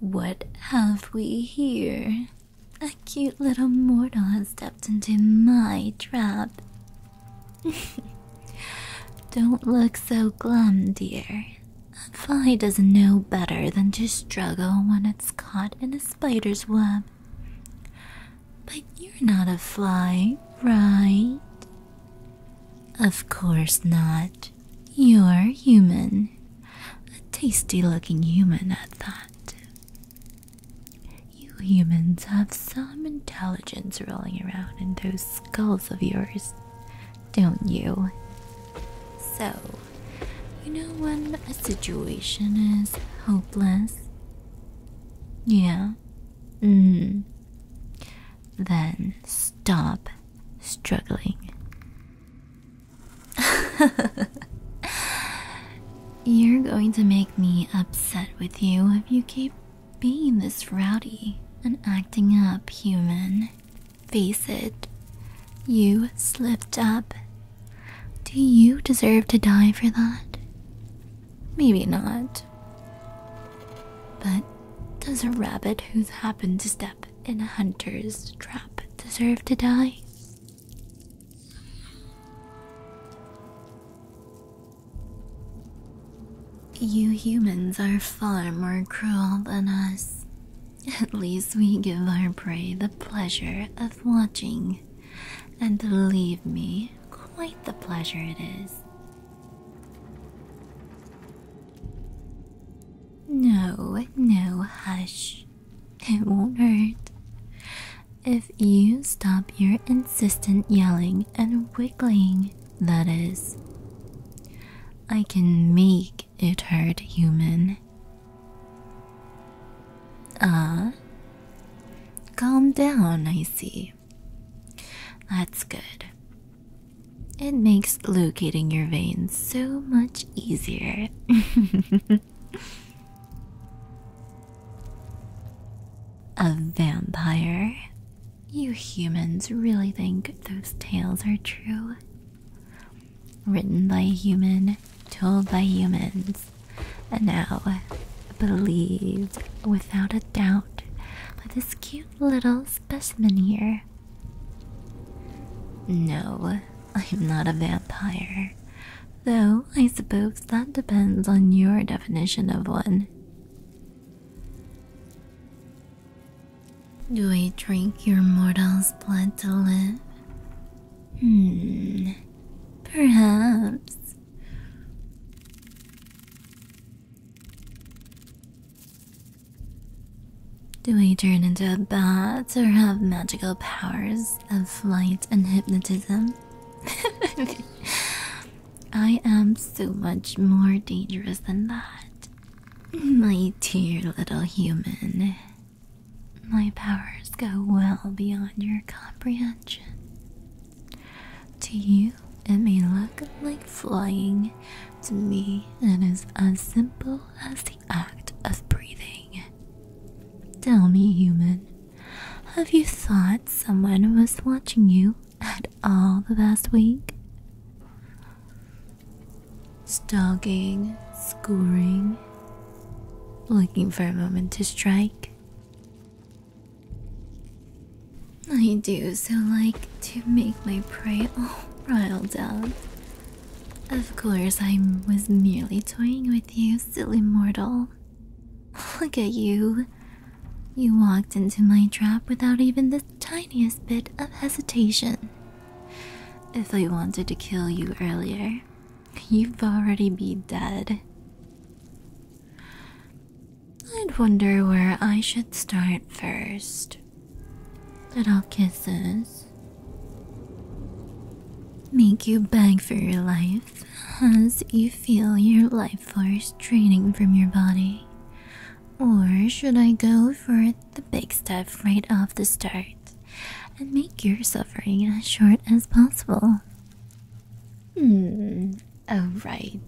What have we here? A cute little mortal has stepped into my trap. Don't look so glum, dear. A fly doesn't know better than to struggle when it's caught in a spider's web. But you're not a fly, right? Of course not. You're human. A tasty looking human at that. You humans have some intelligence rolling around in those skulls of yours, don't you? So, you know when a situation is hopeless? Yeah. Mm then stop struggling. You're going to make me upset with you if you keep being this rowdy and acting up, human. Face it, you slipped up. Do you deserve to die for that? Maybe not. But does a rabbit who's happened to step in a hunter's trap deserve to die? You humans are far more cruel than us. At least we give our prey the pleasure of watching. And believe me, quite the pleasure it is. No, no, hush. It won't hurt. If you stop your insistent yelling and wiggling, that is. I can make it hurt, human. Ah? calm down, I see. That's good. It makes locating your veins so much easier. A vampire? You humans really think those tales are true? Written by a human, told by humans, and now believed without a doubt out this cute little specimen here. No, I'm not a vampire. Though I suppose that depends on your definition of one. Do I drink your mortal's blood to live? Hmm, perhaps. Do I turn into a bat or have magical powers of flight and hypnotism? I am so much more dangerous than that. My dear little human, my powers go well beyond your comprehension. To you, it may look like flying. To me, it is as simple as the act of breathing. Tell me, human, have you thought someone was watching you at all the past week? Stalking, scoring, looking for a moment to strike. I do so like to make my prey all riled up. Of course, I was merely toying with you, silly mortal. Look at you. You walked into my trap without even the tiniest bit of hesitation. If I wanted to kill you earlier, You'd already be dead. I'd wonder where I should start first. Little kisses. Make you beg for your life as you feel your life force draining from your body. Or should I go for the big stuff right off the start? and make your suffering as short as possible. Hmm, oh, right.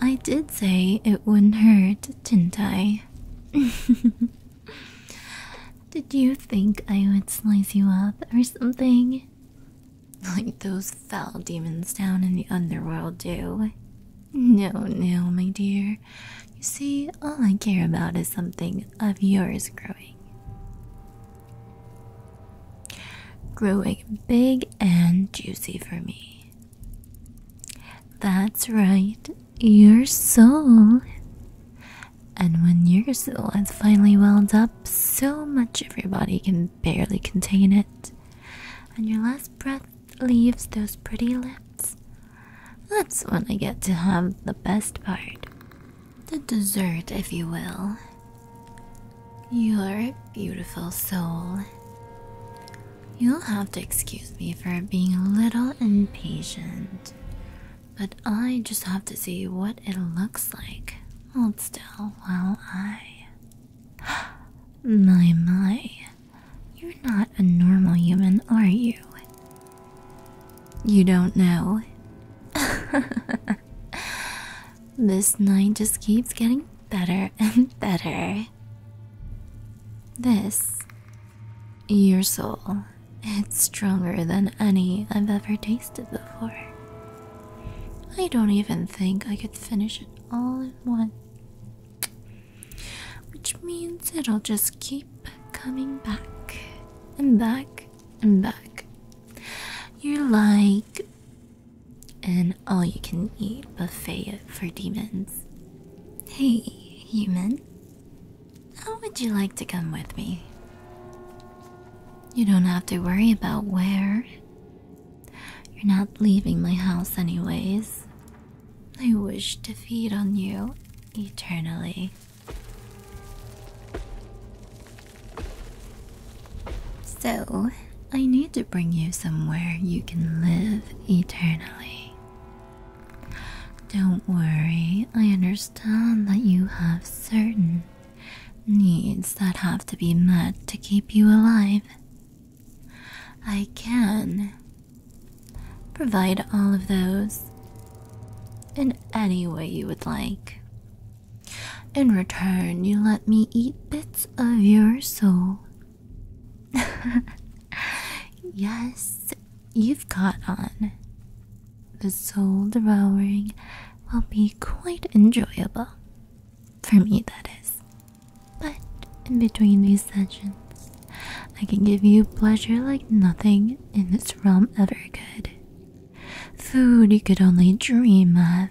I did say it wouldn't hurt, didn't I? did you think I would slice you up or something? Like those foul demons down in the underworld do. No, no, my dear. You see, all I care about is something of yours growing. Growing big and juicy for me. That's right, your soul. And when your soul has finally welled up so much everybody can barely contain it, and your last breath leaves those pretty lips. That's when I get to have the best part. The dessert, if you will. Your beautiful soul. You'll have to excuse me for being a little impatient, but I just have to see what it looks like. Hold still while I. My, my. You're not a normal human, are you? You don't know. this night just keeps getting better and better. This, your soul, it's stronger than any I've ever tasted before. I don't even think I could finish it all in one which means it'll just keep coming back and back and back. You're like an all you can eat buffet for demons. Hey, human, how would you like to come with me? You don't have to worry about where you're not leaving my house, anyways. I wish to feed on you eternally. So, I need to bring you somewhere you can live eternally. Don't worry, I understand that you have certain needs that have to be met to keep you alive. I can provide all of those in any way you would like. In return, you let me eat bits of your soul. yes, you've got on. The soul devouring will be quite enjoyable. For me, that is. But in between these sessions, I can give you pleasure like nothing in this realm ever could. Food you could only dream of,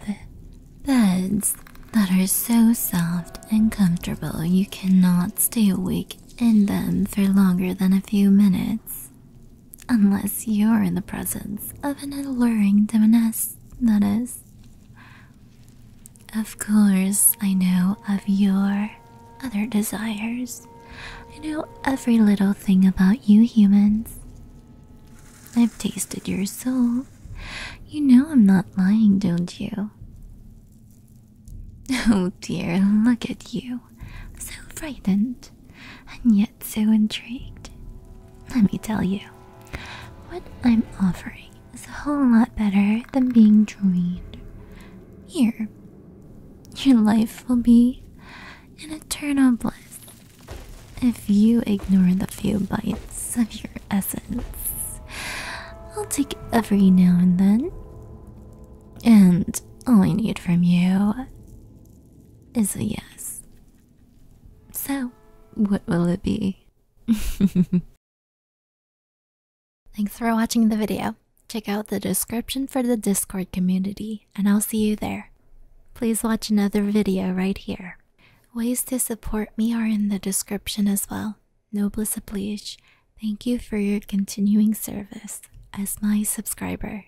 beds that are so soft and comfortable you cannot stay awake in them for longer than a few minutes. Unless you're in the presence of an alluring demoness course, that is. Of course, I know of your other desires. I know every little thing about you humans. I've tasted your soul. You know I'm not lying, don't you? Oh dear, look at you. So frightened. And yet so intrigued? Let me tell you, what I'm offering is a whole lot better than being drained. Here, your life will be an eternal bliss if you ignore the few bites of your essence. I'll take every now and then. And all I need from you is a yes. So, what will it be? Thanks for watching the video. Check out the description for the Discord community, and I'll see you there. Please watch another video right here. Ways to support me are in the description as well. Noblesse oblige, thank you for your continuing service as my subscriber.